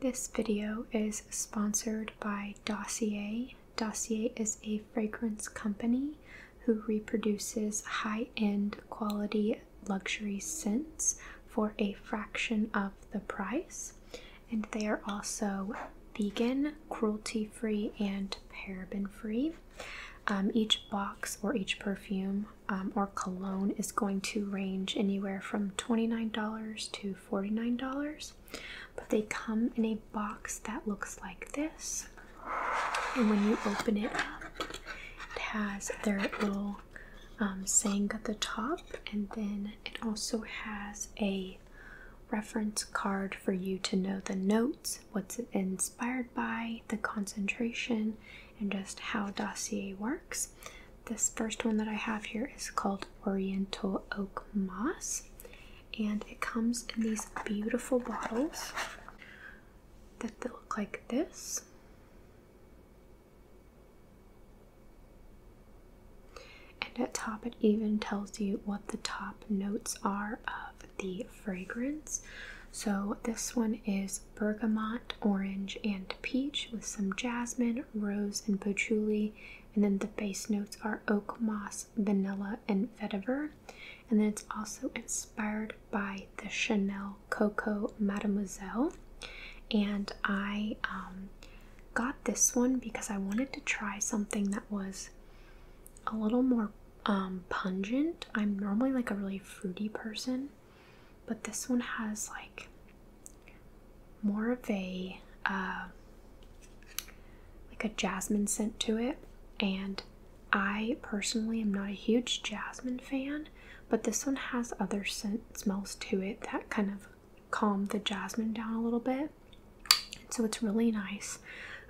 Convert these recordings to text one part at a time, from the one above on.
This video is sponsored by Dossier. Dossier is a fragrance company who reproduces high end quality luxury scents for a fraction of the price. And they are also vegan, cruelty free, and paraben free. Um, each box or each perfume um, or cologne is going to range anywhere from $29 to $49. But they come in a box that looks like this. And when you open it up, it has their little um, saying at the top, and then it also has a reference card for you to know the notes, what's it inspired by, the concentration, and just how Dossier works. This first one that I have here is called Oriental Oak Moss, and it comes in these beautiful bottles that look like this. And at top, it even tells you what the top notes are of the fragrance. So this one is bergamot, orange, and peach with some jasmine, rose, and patchouli. And then the base notes are oak moss, vanilla, and vetiver. And then it's also inspired by the Chanel Coco Mademoiselle. And I um, got this one because I wanted to try something that was a little more um, pungent. I'm normally like a really fruity person, but this one has like more of a uh, like a jasmine scent to it and i personally am not a huge jasmine fan but this one has other scents, smells to it that kind of calm the jasmine down a little bit so it's really nice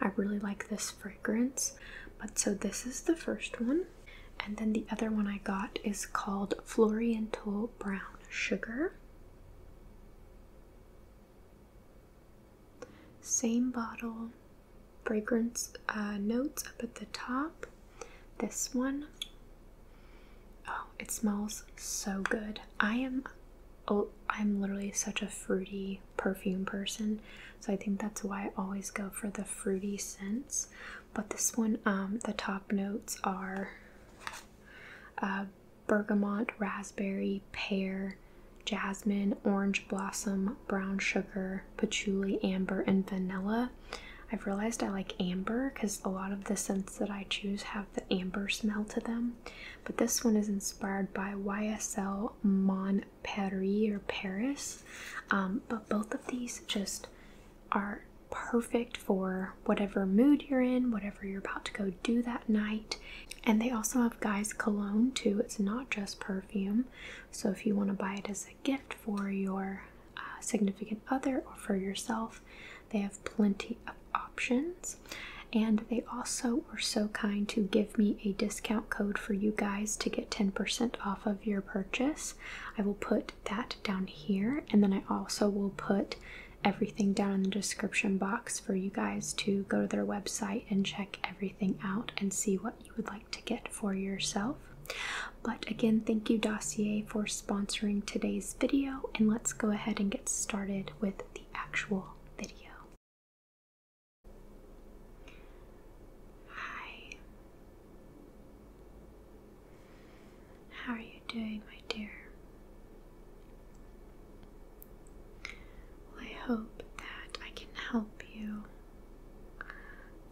i really like this fragrance but so this is the first one and then the other one I got is called Floriental Brown Sugar. Same bottle, fragrance uh, notes up at the top. This one, oh, it smells so good. I am, oh, I'm literally such a fruity perfume person, so I think that's why I always go for the fruity scents but this one, um, the top notes are uh, bergamot, raspberry, pear, jasmine, orange blossom, brown sugar, patchouli, amber, and vanilla. I've realized I like amber because a lot of the scents that I choose have the amber smell to them. But this one is inspired by YSL Mon Paris or um, Paris. but both of these just are perfect for whatever mood you're in, whatever you're about to go do that night. And they also have guys' cologne too. It's not just perfume. So if you want to buy it as a gift for your uh, significant other or for yourself, they have plenty of options. And they also were so kind to give me a discount code for you guys to get 10% off of your purchase. I will put that down here, and then I also will put everything down in the description box for you guys to go to their website and check everything out and see what you would like to get for yourself. But again, thank you, Dossier, for sponsoring today's video, and let's go ahead and get started with the actual video. Hi, how are you doing, my dear? I hope that I can help you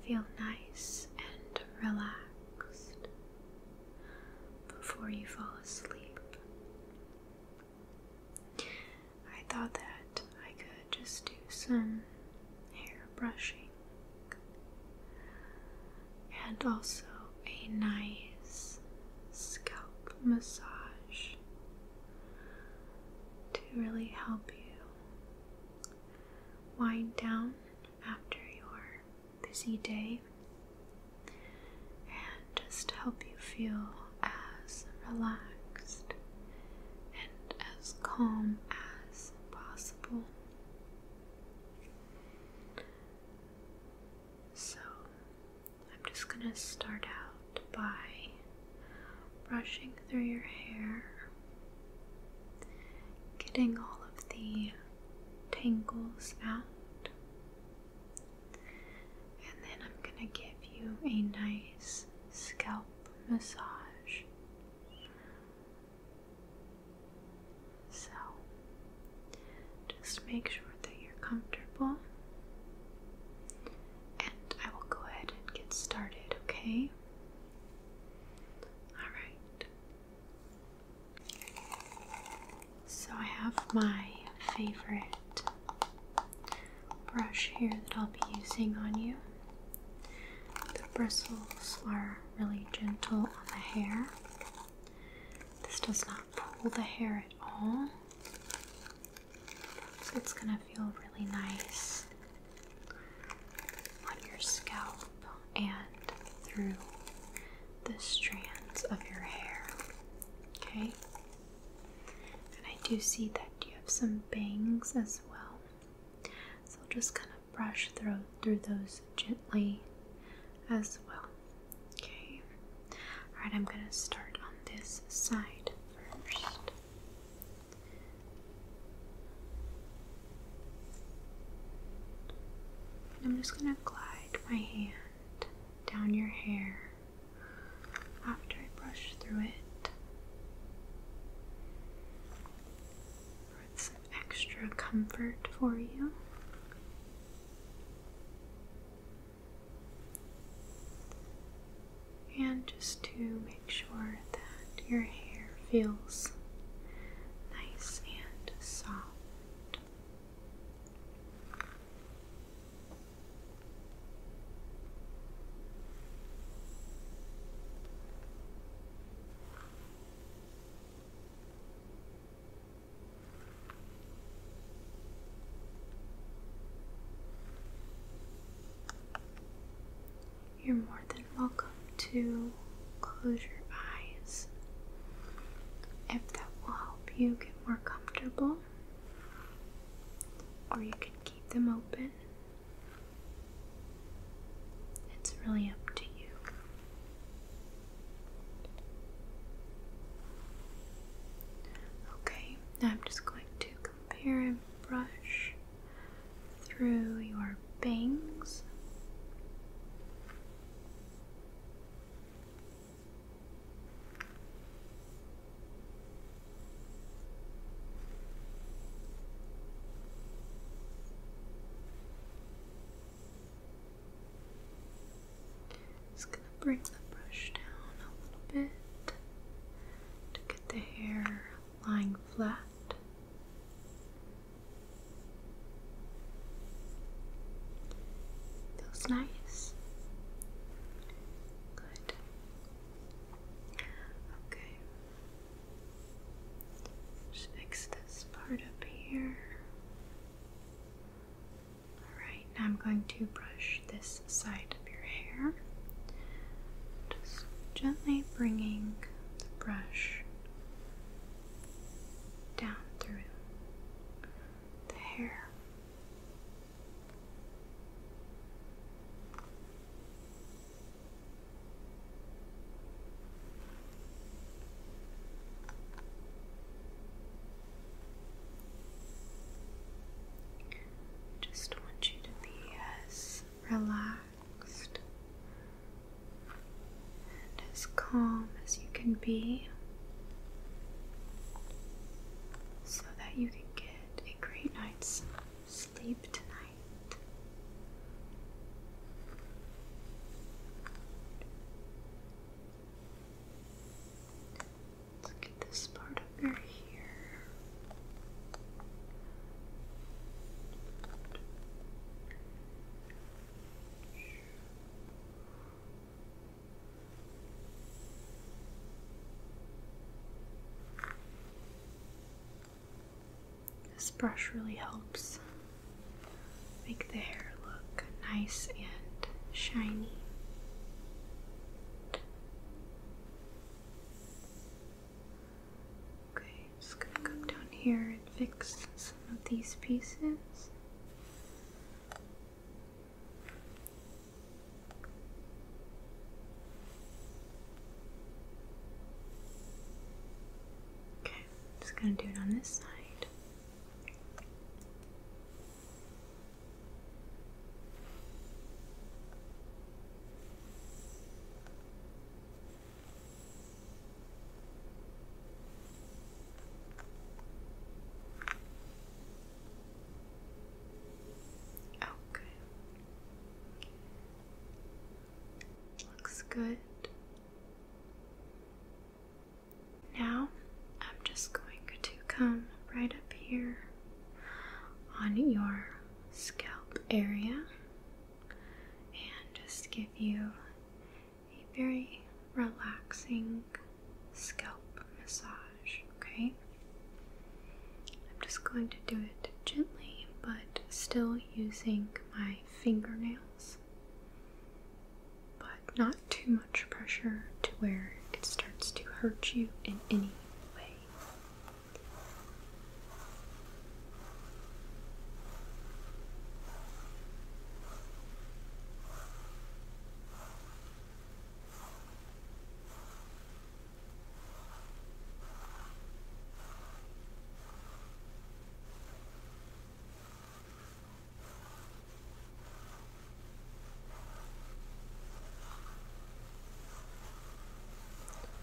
feel nice and relaxed before you fall asleep. I thought that I could just do some hair brushing and also a nice scalp massage to really help you wind down after your busy day and just help you feel as relaxed and as calm as possible. So, I'm just going to start out by brushing through your hair, getting all of the tangles out, and then I'm going to give you a nice scalp massage so just make sure that you're comfortable, and I will go ahead and get started, okay? Alright. So I have my favorite brush here that I'll be using on you. The bristles are really gentle on the hair. This does not pull the hair at all. So it's going to feel really nice on your scalp and through the strands of your hair. Okay? And I do see that you have some bangs as well. So just kind of brush through through those gently as well. Okay. All right, I'm going to start on this side first. I'm just going to glide my hand down your hair after I brush through it some extra comfort for you. And just to make sure that your hair feels nice and soft. You're more than welcome to close your eyes if that will help you get more comfortable, or you can keep them open. It's really up to you. Okay, now I'm just going to compare and brush through your bangs. Just gonna bring the brush down a little bit to get the hair lying flat. Feels nice. Good. Okay. Just fix this part up here. Alright, now I'm going to brush this side of your hair. Just gently bringing the brush down through the hair. Just want you to be as relaxed and as calm as you can be so that you can get a great night's sleep tonight. Let's get this part over here. This brush really helps make the hair look nice and shiny. Okay, just gonna come down here and fix some of these pieces. Okay, I'm just going to do it on this side. Okay. Looks good. Now I'm just going to come right up here on your scalp area and just give you a very relaxing scalp massage okay? I'm just going to do it gently, but still using my fingernails, but not too much pressure to where it starts to hurt you in any way.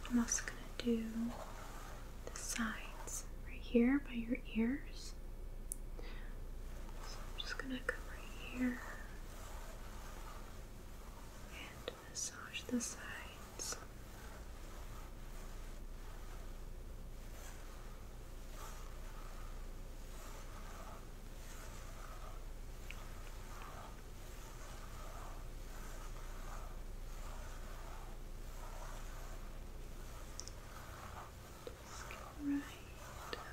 I'm also going to do the sides right here by your ears. So I'm just going to come right here and massage the sides. right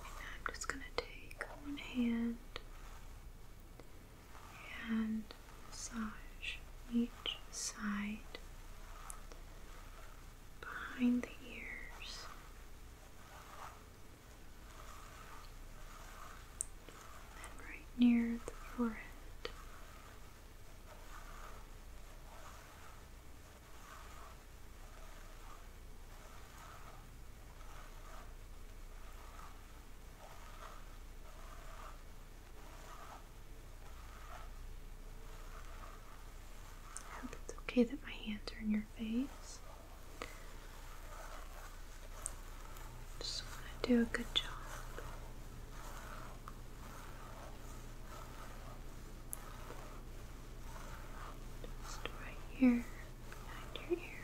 I'm just going to take one hand and massage each side behind the ears and right near the forehead. I hope it's okay that my hands are in your face. Just want to do a good job. Just right here behind your ear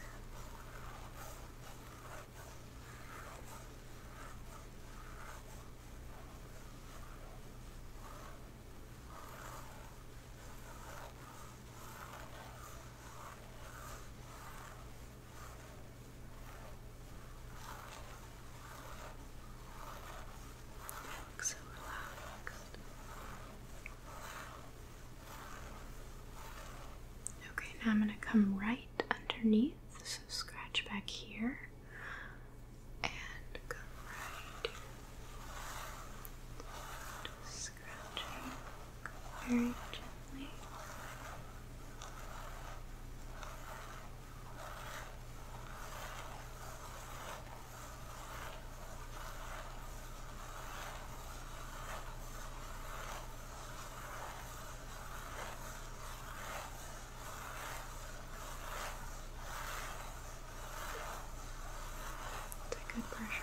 so relaxed. Okay, now I'm going to come right underneath. So scratch back here and come right very gently. Take good pressure.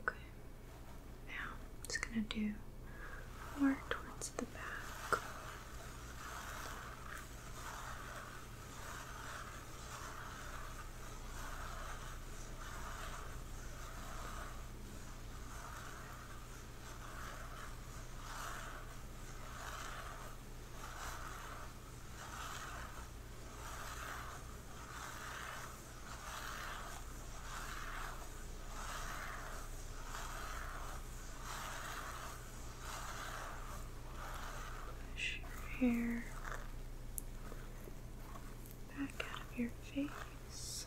Okay. Now just gonna do more towards the back. Push your hair back out of your face.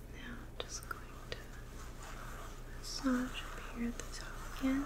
Now just going to massage up here at the top again.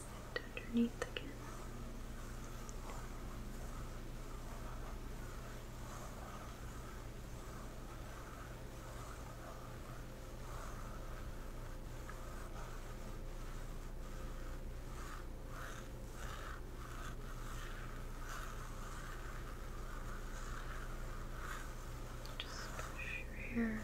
and underneath again. Just push your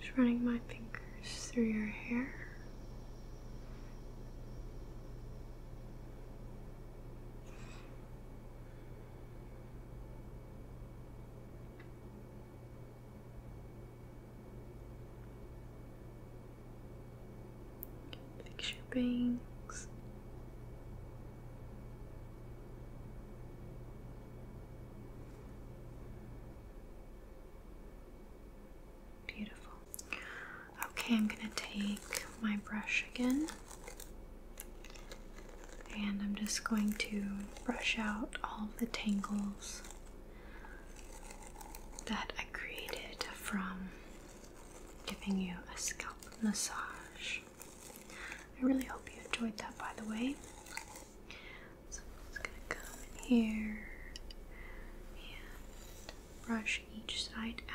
Just running my fingers through your hair. Fix bangs. Beautiful. Okay, I'm going to take my brush again and I'm just going to brush out all the tangles that I created from giving you a scalp massage. I really hope you enjoyed that, by the way. So i gonna come here and brush each side out.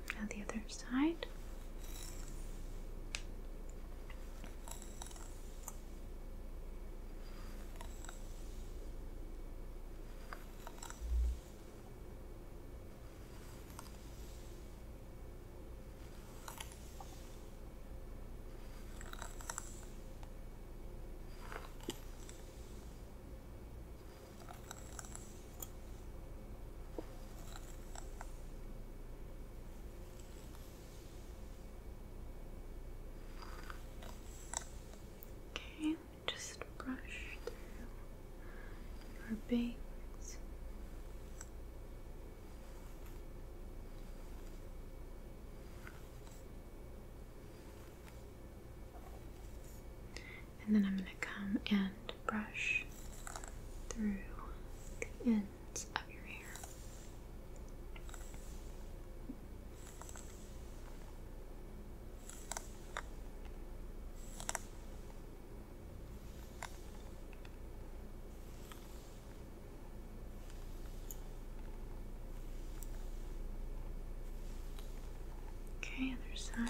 Okay, now the other side. Okay, just brush through your bangs. And then I'm going to come and brush through the ends of your hair. Okay, other side.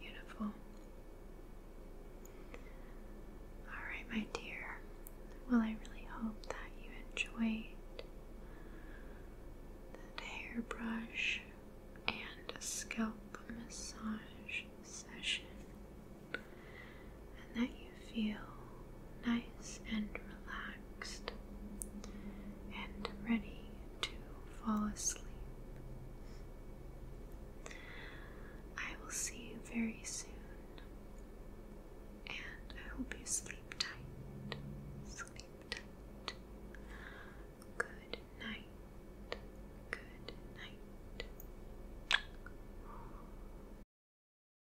Beautiful. All right, my dear. Well, I really hope that you enjoyed that hairbrush and scalp massage session and that you feel nice and relaxed and ready to fall asleep. I will see you very soon, and I hope you sleep tight. Sleep tight. Good night. Good night.